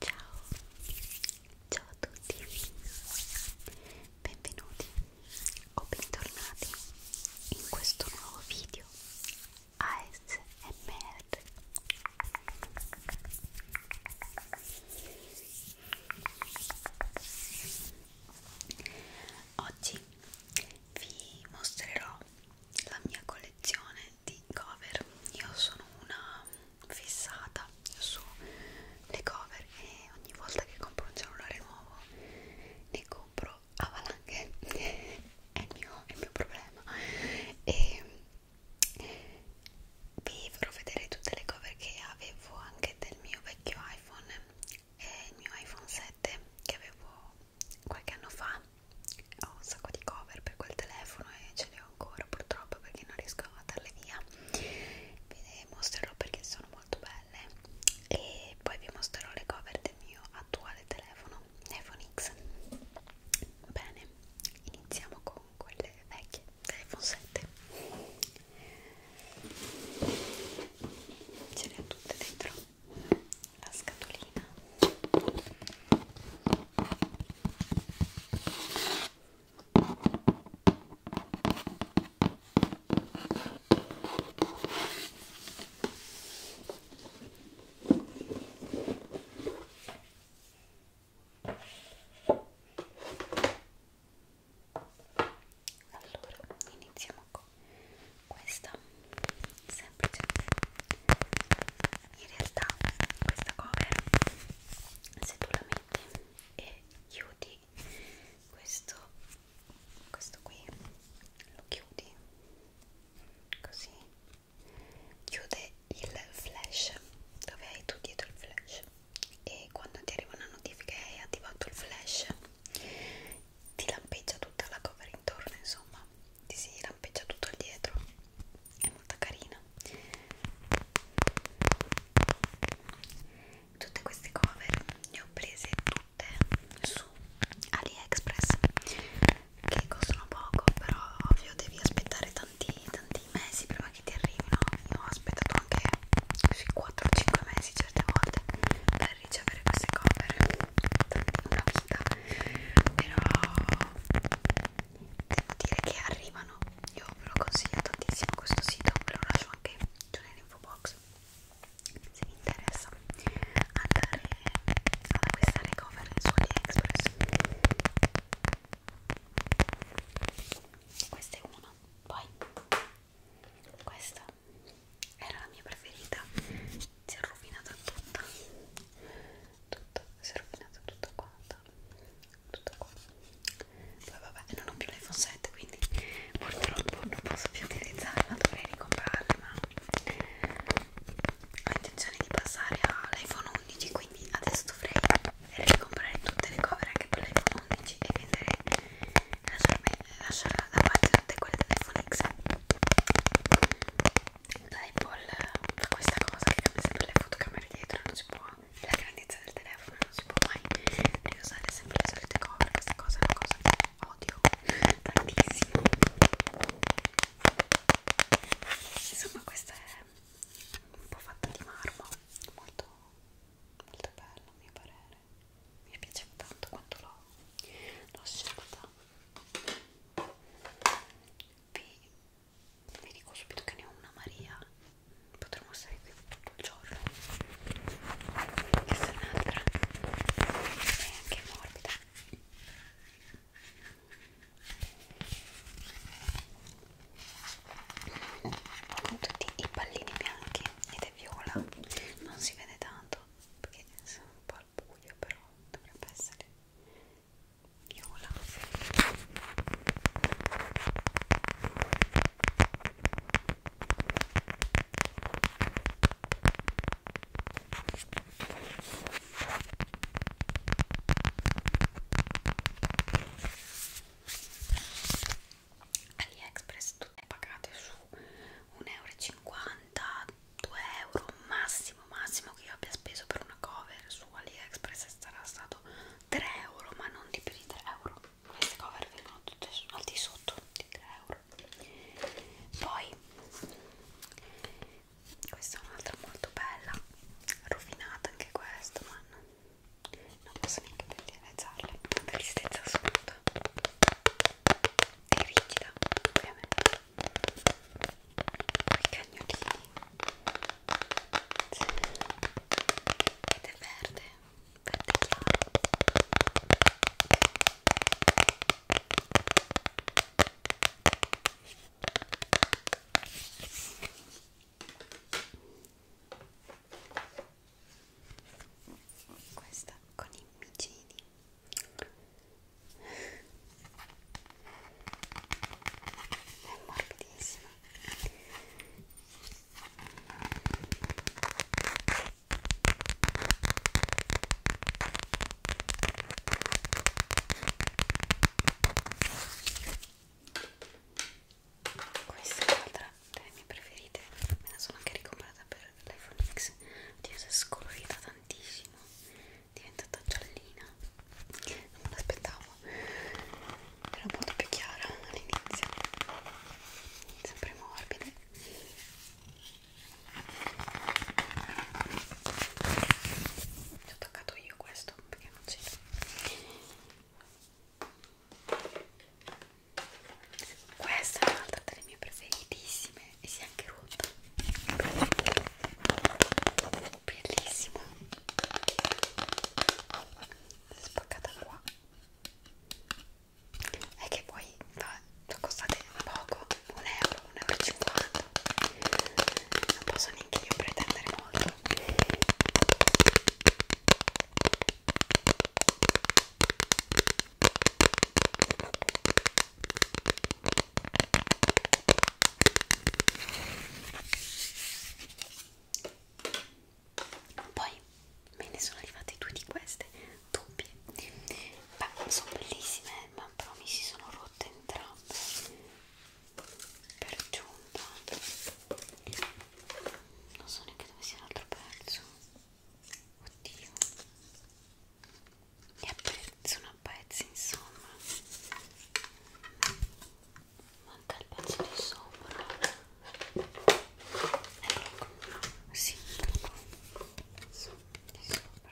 Ciao, ciao a tutti, benvenuti o bentornati in questo nuovo video ASMR. Oggi vi mostrerò la mia collezione di cover io sono una fissata sulle cover e ogni volta che compro un cellulare nuovo ne compro a valanghe è, il mio, è il mio problema e vi farò vedere tutte le cover che avevo anche del mio vecchio iPhone e il mio iPhone 7 che avevo qualche anno fa ho un sacco di cover per quel telefono e ce le ho ancora purtroppo perché non riesco a darle via ve le mostrerò perché sono molto belle e poi vi mostrerò le cover del mio attuale telefono iPhone X bene iniziamo con quelle vecchie iPhone 7 ce le ho tutte dentro la scatolina allora iniziamo gioco questa semplice in realtà questa cover se tu la metti e chiudi questo questo qui lo chiudi così chiude il flash dove hai tu dietro il flash e quando ti arriva una notifica e hai attivato il flash ti lampeggia tutta la cover intorno insomma ti si lampeggia tutto il dietro è molto carina tutte queste cover le ho prese tutte su AliExpress che costano poco però ovvio devi aspettare tanti tanti mesi prima che ti arrivino io ho aspettato anche sui 4-5 mesi certe volte per per ricevere queste cover una vita però devo dire che arrivano io ve lo consiglio tantissimo questo sito ve lo lascio anche giù nell'info box se vi interessa andare ad acquistare cover su AliExpress questa è una poi questa era la mia preferita si è rovinata tutta tutto, si è rovinata tutta quanta tutto qua poi vabbè non ho più l'iPhone 7 quindi purtroppo non posso più utilizzarla dovrei ricomprarla ma ho intenzione di passare all'iPhone 11 quindi adesso dovrei ricomprare tutte le cover anche per l'iPhone 11 e vendere lasciare da parte tutte quelle delle Phoenix l'Apple fa questa cosa che cambia sempre le fotocamere dietro non si può la grandezza del telefono non si può mai riusare sempre le solite cover questa cosa è una cosa che odio tantissimo insomma questa è un po' fatta di marmo molto molto bello a mio parere colore mi piaceva tanto quanto l'ho scelta vi, vi dico subito che ne ho una Maria potremmo stare qui tutto il giorno questa è un'altra è anche morbida con tutti i pallini bianchi ed è viola non si vede tanto perché sono un po' al buio però dovrebbe essere viola AliExpress tutte pagate su 1,50€, 2 euro massimo massimo che io abbia speso per una cover su AliExpress sarà stato 3 euro ma non di più di 3 euro queste cover vengono tutte al di sotto di 3 euro poi questa è un'altra molto bella rovinata anche questa ma non posso neanche realizzarle tristezza assoluta è rigida ovviamente i cagnolini ed è verde verde chiaro questa con i micini è morbidissima questa è un'altra delle mie preferite me la sono anche ricomprata per l'iPhone X oddio si è scolorita tantissimo è diventata giallina non me l'aspettavo era molto più chiara all'inizio sempre morbide ci ho toccato io questo perché non c'era questa è un'altra delle mie preferitissime e si è anche rotta. Bellissima. Spaccata qua. E che poi fa, costate poco, 1 euro, 1,50 euro. Non posso neanche io pretendere molto. Poi me ne sono arrivate due di queste doppie. Beh, sono bellissime, eh, ma però mi si sono rotte entrambe. Per giunta. Non so neanche dove sia l'altro pezzo. Oddio. E a pezzi, una pezzi, insomma. Manca il pezzo di sopra. Eccolo ecco qua. Sì, eccolo qua. Su, di sopra.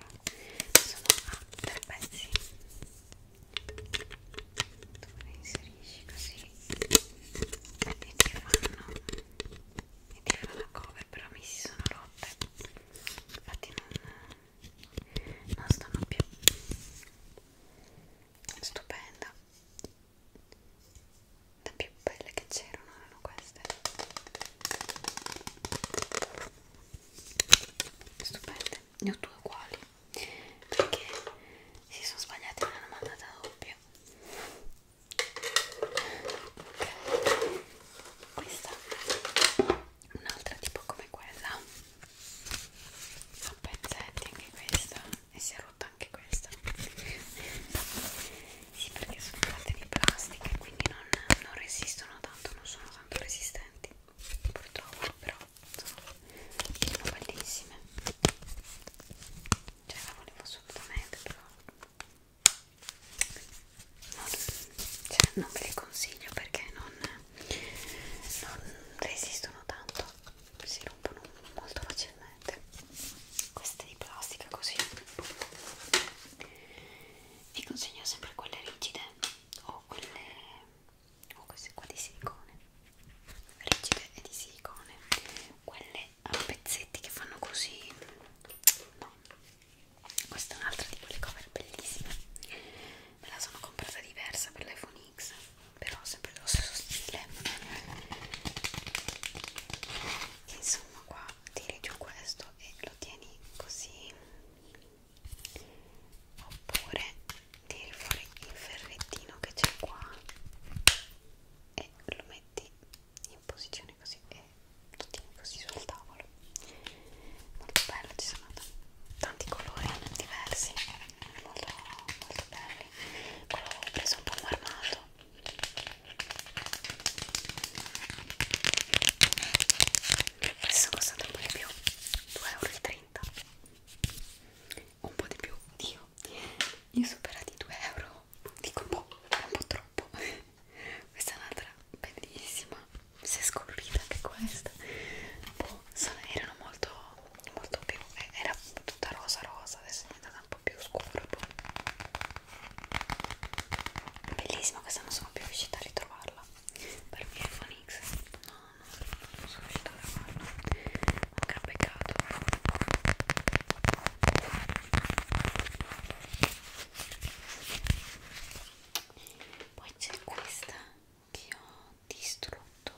Sono a tre pezzi. Tu le inserisci così. Vedi che fanno ed era una cover però mi si sono rotte infatti non, non stanno più stupenda le più belle che c'erano erano queste stupende ne ho due uguali perché si sono sbagliati me l'hanno mandata doppia ok questa un'altra tipo come quella a pezzetti anche questa e si è rotta anche questa sì perché sono fatte di plastica e quindi non, non resistono tanto non sono tanto resistenti purtroppo però sono bellissime cioè la volevo assolutamente però non, cioè, non ve le consiglio perché non, non resistono tanto si rompono molto facilmente queste di plastica così vi consiglio sempre quelle rigide o quelle o queste qua di silicone rigide e di silicone quelle a eh, pezzetti che fanno così no questa è un'altra di quelle cover bellissime me la sono comprata diversa per l'iPhone X però sempre dello stesso stile insomma qua tiri giù questo e lo tieni così oppure tiri fuori il ferrettino che c'è qua e lo metti in posizione così e lo tieni così sul tavolo molto bello ci sono tanti colori diversi molto, molto belli quello ho preso un po' marmato questo costato un po' di più 2,30 euro un po' di più io io superati 2 euro po', dico un po', un po' troppo. Questa è un'altra bellissima, sia scolpita che questa. Boh, sono, erano molto, molto più, eh, era tutta rosa rosa, adesso è diventata un po' più scura. Boh. Bellissima, questa non sono più riuscita a ritrovarla. Per mio iPhone X, no, no, non sono riuscita a trovarla un gran peccato poi c'è questa che ho distrutto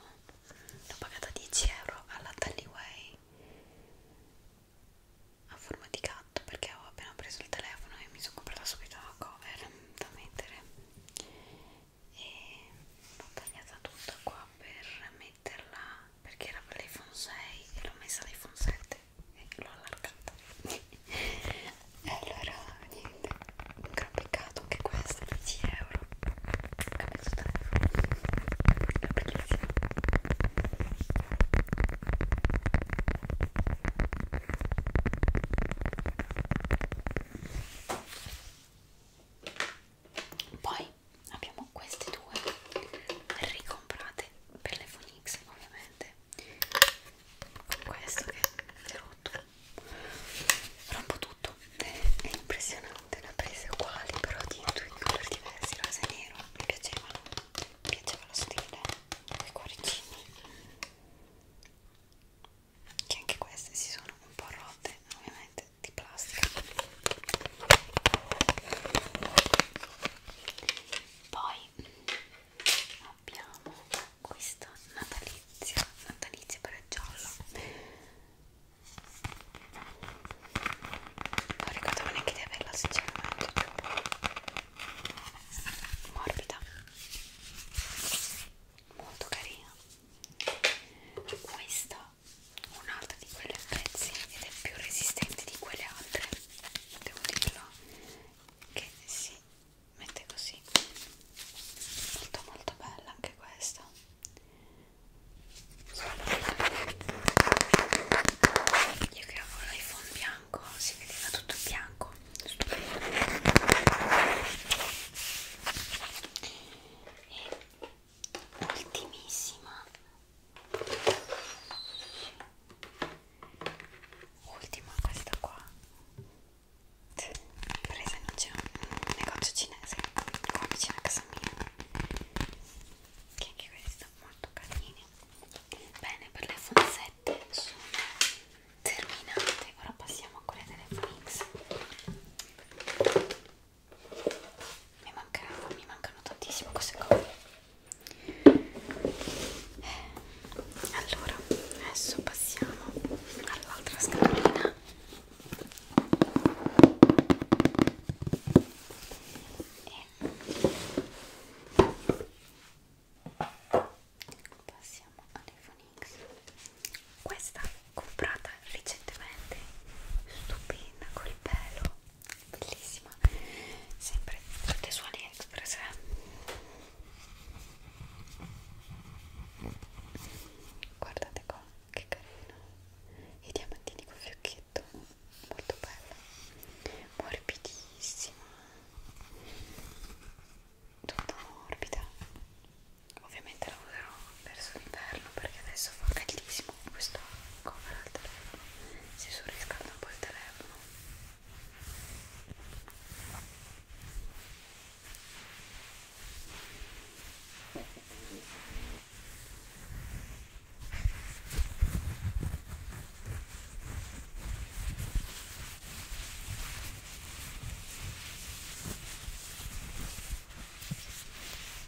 l'ho pagata 10 euro alla Tallyway a forma di gatto perché ho appena preso il telefono e mi sono comprata subito la cover da mettere e l'ho tagliata tutta qua per mettere metterla perché era per l'iPhone 6 e l'ho messa all'iPhone 7 e l'ho allargata e allora niente un gran peccato anche questo 10 euro ho cambiato telefono è bellissimo poi abbiamo queste due ricomprate per le Phoenix ovviamente con questo che è rotto rompo tutto è impressionante ne ho prese uguali però di due colori diversi rosa e nero mi piaceva mi piaceva lo stile i cuoricini che anche queste si sono un po' rotte ovviamente di plastica poi abbiamo questa natalizia natalizia per giallo non ricordo neanche di averla sinceramente morbida molto carina questa ha un'altra di quelle a pezzi ed è più resistente di quelle altre devo dirlo che si mette così molto molto bella anche questa Solo io che avevo l'iPhone bianco si vedeva tutto bianco stupendo e ultimissima ultima questa qua presa in c'è un negozio cinese qua vicino a casa mia che anche questi molto carini bene per l'iPhone 7 sono terminate ora passiamo a quelle delle Phoenix mi, manca, mi mancano tantissimo queste cose eh, allora adesso passiamo all'altra scatolina e passiamo alle Phoenix questa comprata recentemente stupenda col pelo bellissima sempre tutte su AliExpress eh? guardate qua che carino i diamantini col fiocchetto molto bella morbidissima tutta morbida ovviamente la userò verso l'inverno perché adesso fa caldissimo con questo cover al telefono si surriscalda un po' il telefono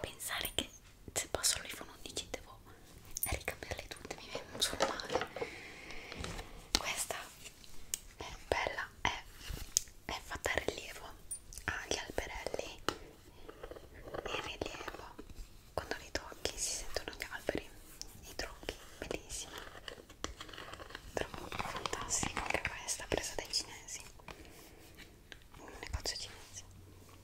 pensare che se passo l'iPhone 11 devo ricambiarle tutte mi viene un solo male questa è bella è, è fatta a rilievo ha gli alberelli in rilievo quando li tocchi si sentono gli alberi i tronchi bellissima trovo fantastica anche questa presa dai cinesi un negozio cinese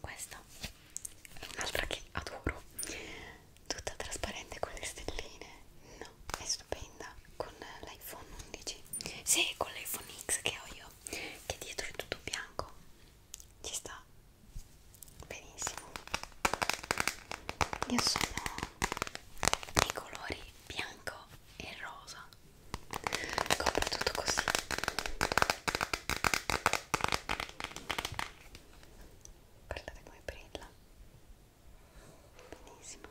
questa è un'altra che adoro tutta trasparente con le stelline no è stupenda con l'iPhone 11 sì con l'iPhone X che ho io che dietro è tutto bianco ci sta benissimo io sono i colori bianco e rosa compro tutto così guardate come brilla benissimo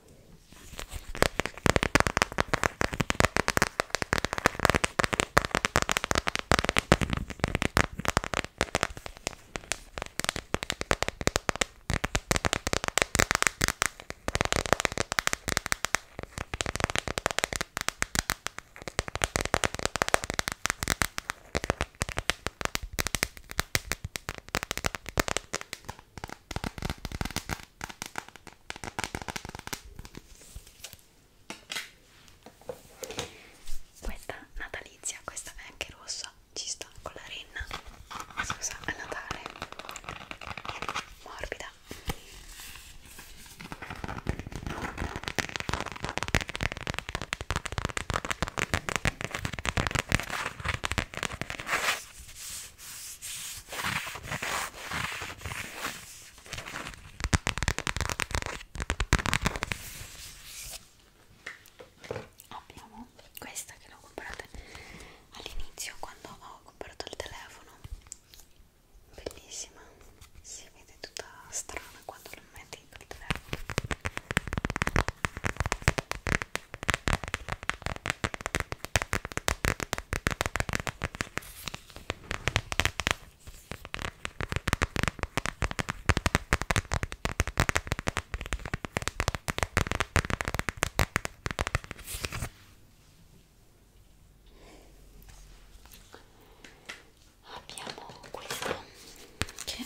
questa natalizia, questa è anche rossa, ci sta con la renna, scusa, a Natale, morbida Abbiamo questa che l'ho comprata all'inizio quando ho comprato il telefono bellissima si vede tutta strana quando la metti nel telefono abbiamo questo che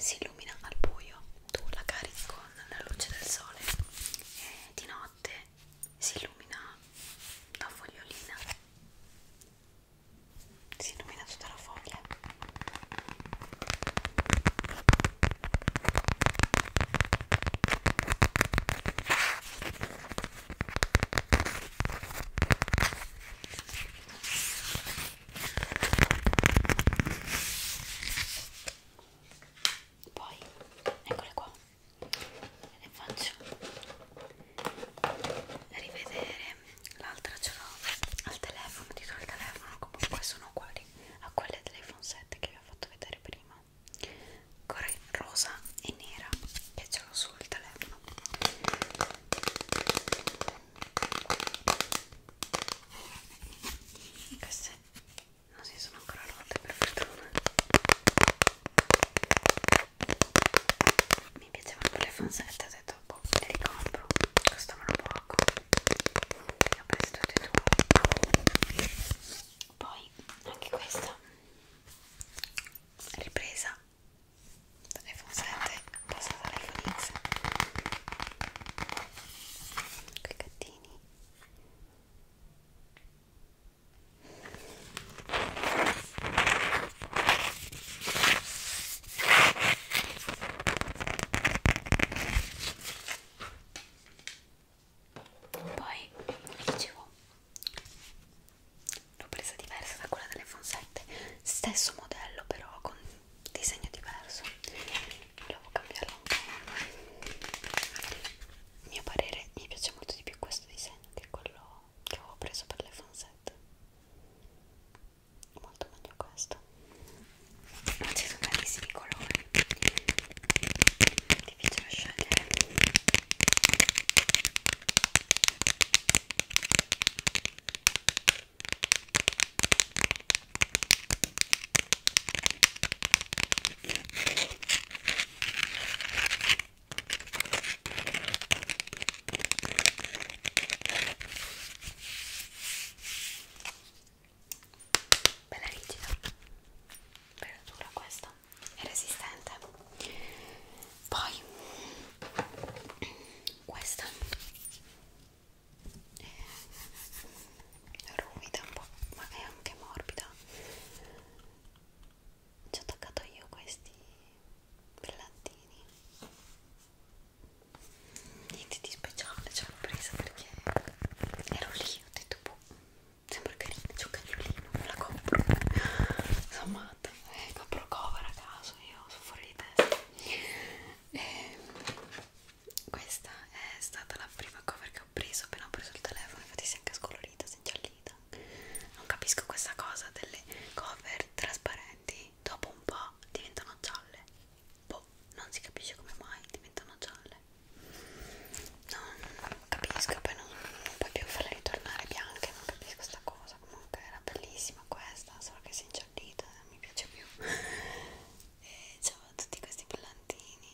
si illumina al buio tu la carichi con la luce del sole e di notte si illumina la fogliolina si illumina tutta la foglia poi eccole qua le faccio rivedere l'altra ce l'ho al telefono dietro al telefono comunque sono uguali a quelle dell'iPhone 7 che vi ho fatto vedere prima rosa e nera che ce l'ho sul telefono queste non si sono ancora rotte per fortuna mi piacevano le fansette, ho detto boh, le ricompro, costavano poco le ho prese tutte e due poi anche questa ripresa dall'iPhone 7 passata all'iPhone X quei gattini poi vi dicevo l'ho presa diversa da quella dell'iPhone 7 stesso modello però con disegno diverso volevo cambiarlo un po' a mio parere mi piace molto di più questo disegno che quello che avevo preso per l'iPhone 7 molto meglio questo ma ci sono tantissimi colori è difficile scegliere Bella rigida, bella dura questa è resistente poi questa è ruvida un po' ma è anche morbida ci ho attaccato io questi brillantini niente di speciale ce l'ho presa perché ero lì ho detto boh sembra carina, c'è un cagnolino, me la compro insomma, eh, compro cover a caso, io sono fuori di testa e ehm, questa è stata la prima cover che ho preso appena ho preso il telefono, infatti si è anche scolorita, si è ingiallita non capisco questa cosa delle cover trasparenti dopo un po' diventano gialle boh, non si capisce come mai diventano gialle non capisco poi non, non puoi più farle ritornare bianche non capisco questa cosa comunque era bellissima questa solo che si è ingiallita non mi piace più e c'avevo tutti questi brillantini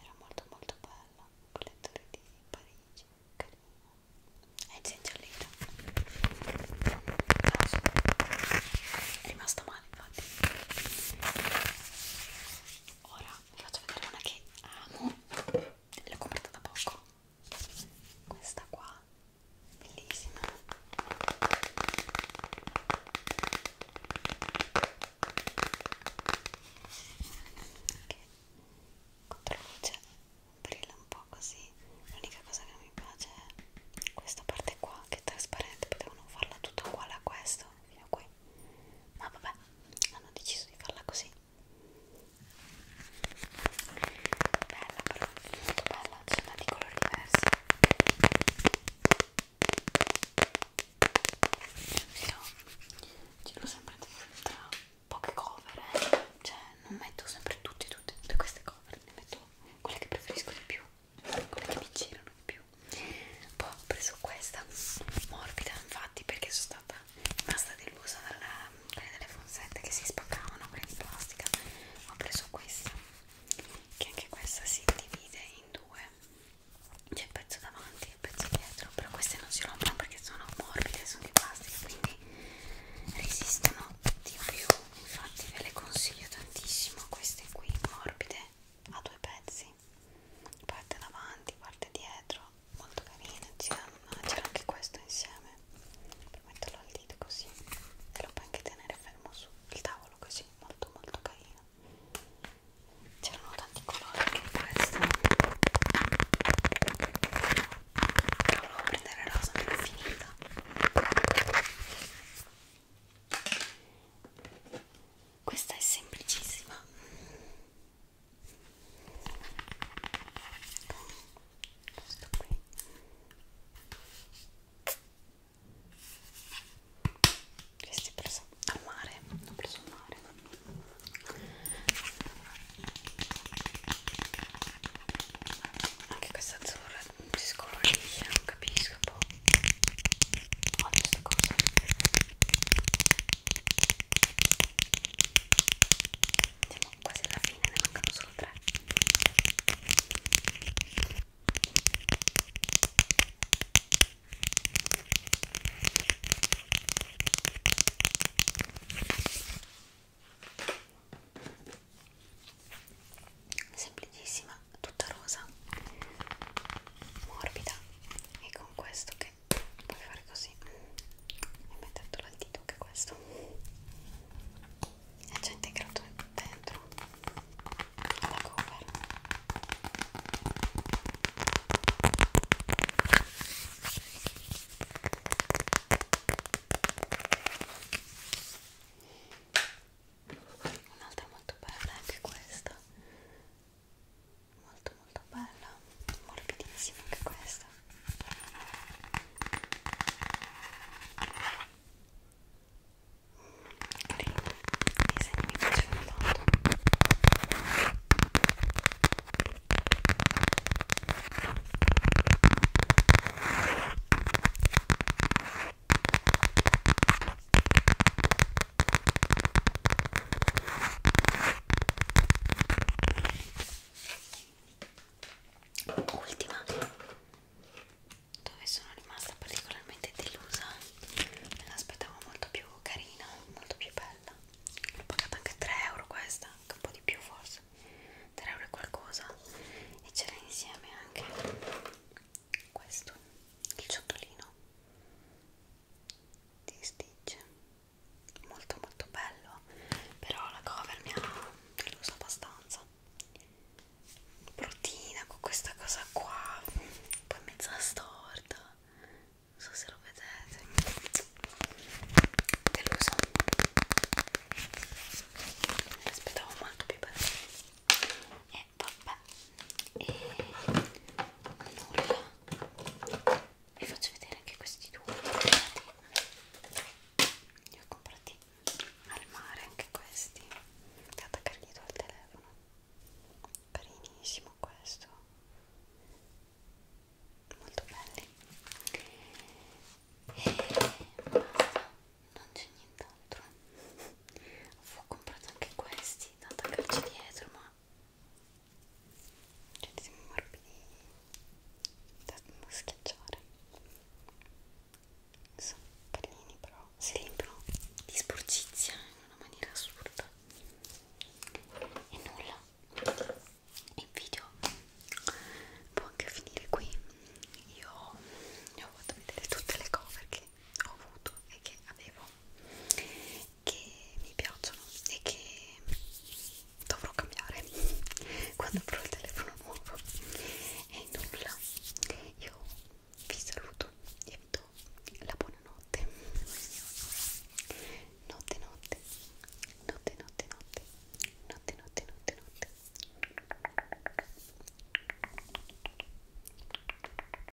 era molto molto bella con le torri di Parigi carina e eh, si è ingiallita no, so. è rimasta male infatti ora vi faccio vedere una che amo l'ho comprata da poco questa qua bellissima che controluce brilla un po' così l'unica cosa che non mi piace è questa parte qua che è trasparente potevano farla tutta uguale a questo fino a qui ma vabbè hanno deciso di farla così Bella però, molto bella, ci sono tanti colori diversi Io giro sempre tra poche cover, eh. cioè non metto sempre tutte, tutte, tutte queste cover, ne metto quelle che preferisco di più, quelle che mi girano di più poi ho preso questa morbida infatti perché sono stata basta delusa dalla, quelle delle fonsette che si spaccavano, quelle di plastica ho preso questa che anche questa si divide in due c'è il pezzo davanti e il pezzo dietro però queste non si rompono perché sono morbide sono di plastica quindi resistono di più infatti ve le consiglio tantissimo queste qui morbide a due pezzi così parte davanti, parte dietro molto carina c'era anche questo insieme per metterlo al dito così e lo puoi anche tenere fermo sul tavolo così molto molto carino c'erano tanti colori anche in questo volevo prendere rosa ma l'ho finita questa è semplicissima questo qui questi preso al mare l'ho preso al mare anche questa azzurra si scolorisce non capisco un boh. po' odio questa cosa siamo quasi alla fine, ne mancano solo tre. Semplicissima, tutta rosa, morbida e con questo che puoi fare così e mettertelo al dito che questo è già integrato dentro la cover un'altra molto bella è anche questa molto molto bella morbidissima anche questa i disegni mi piacciono tanto Ultima, dove sono rimasta particolarmente delusa, me l'aspettavo molto più carina, molto più bella. L'ho pagata anche 3 euro questa, anche un po' di più forse, 3 euro e qualcosa. E c'era insieme anche questo, il ciotolino di Stitch molto molto bello però la cover mi ha deluso abbastanza bruttina con questa cosa qua poi mezza storta non so se lo vedete deluso me l'aspettavo molto più bello e vabbè e nulla vi faccio vedere anche questi due li ho comprati al mare anche questi da attaccargli al telefono carinissimo questo molto belli e basta non c'è nient'altro ho comprato anche questi da attaccarci dietro ma cioè ti siamo morbidi da, da schiacciare sono pallini però si riempiono di sporcizia in una maniera assurda e nulla il video può anche finire qui io vi ho fatto vedere tutte le cover che che ho avuto e che avevo che mi piacciono e che dovrò cambiare quando avrò il telefono nuovo e nulla io vi saluto e vi do la buonanotte notte notte notte notte notte notte notte notte notte